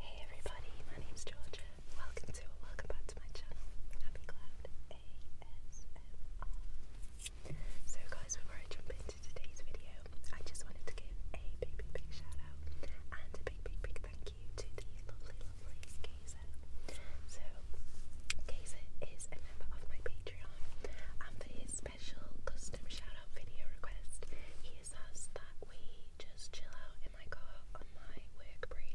Hey everybody, my name's Georgia. Welcome to welcome back to my channel, Happy Cloud ASMR. So guys, before I jump into today's video, I just wanted to give a big, big, big shout out and a big, big, big thank you to the lovely, lovely Kaysa. So, Kaysa is a member of my Patreon and for his special custom shout out video request, he that we just chill out in my car on my work break.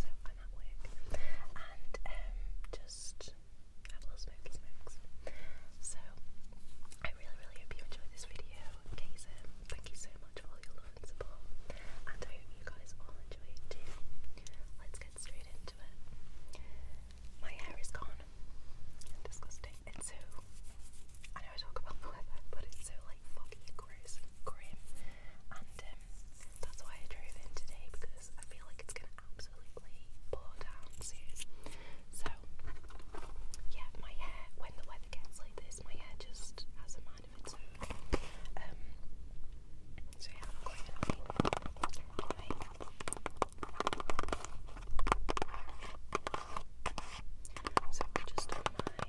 So I'm at work and um, just have a little smoky smokes. So I really, really hope you enjoyed this video. Kaysen, um, thank you so much for all your love and support, and I hope you guys all enjoy it too. Let's get straight into it. My hair is gone. Disgusting. It's so I know I talk about the weather, but it's so like foggy, gross, and grim, and um, that's why I drove in today because I feel like it's gonna absolutely pour down soon. So yeah, my hair when the weather gets like this, my hair just has a mind of its own. Um, so yeah, am quite annoyed. So just on my, my week, my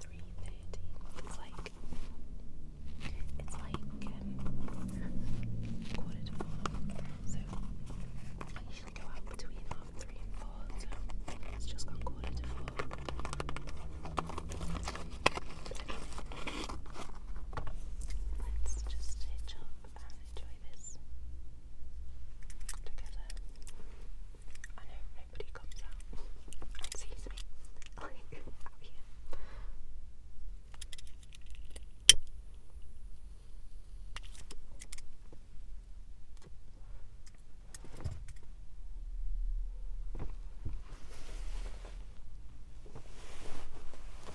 three thirty. It's like it's like um, quarter to four. So I usually go out between half three and four. So it's just gone quarter to four. Let's just hitch up and enjoy this together. I know nobody comes out and me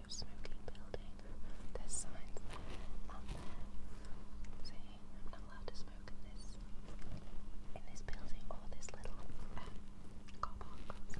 no smoking building. There's signs out um, there saying I'm not allowed to smoke in this in this building or this little uh, car park. So.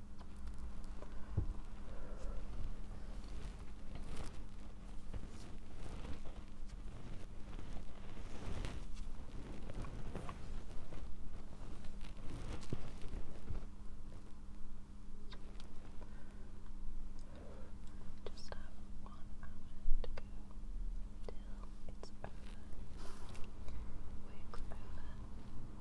Just have one hour to go until it's over. Work's over.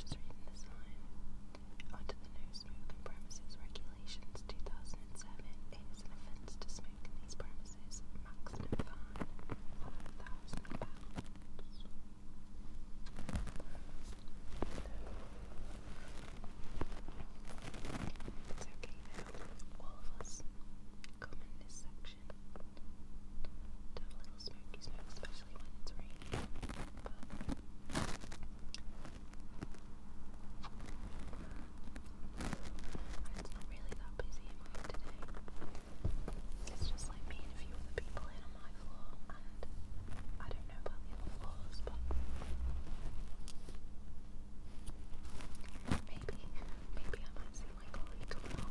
Just reading this line. Under the No Smoking Premises Regulations 2007, it is an offence to smoke in these premises. Maximum fine pounds okay All of us is common in this section have a little smoky smoke, especially when it's raining. it's not really that busy in my today. It's just like me and a few other people in on my floor, and I don't know about other floors, but Maybe, maybe I might see my colleague tomorrow.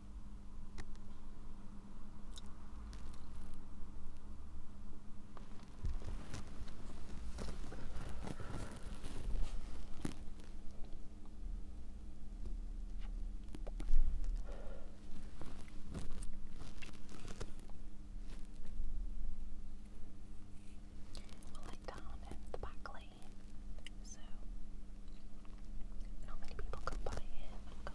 Well, like down in the back lane, so how many people could buy it? Oh god.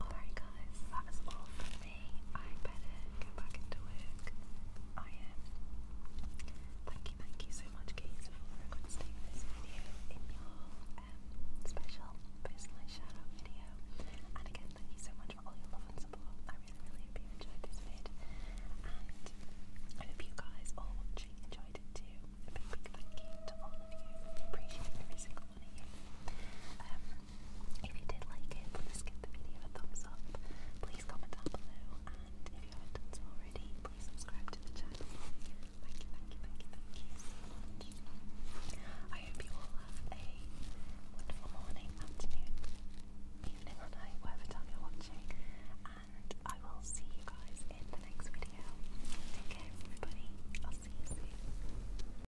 Alright guys, that is all me. I better go back into work. I am. Um, thank you, thank you so much, Gaze, for requesting this video in your um, special personalised shout out video. And again, thank you so much for all your love and support. I really, really hope you enjoyed this vid. And I hope you guys all watching enjoyed it too. A big, big thank you to all of you. Appreciate every single one of you. Um, if you did like it, please give the video a thumbs up. Please comment down below. And if you haven't done so already, please subscribe to the channel. Thank you, thank you, thank you, thank you so much. I hope you all have a wonderful morning, afternoon, evening, or night, whatever time you're watching. And I will see you guys in the next video. Take care, everybody. I'll see you soon.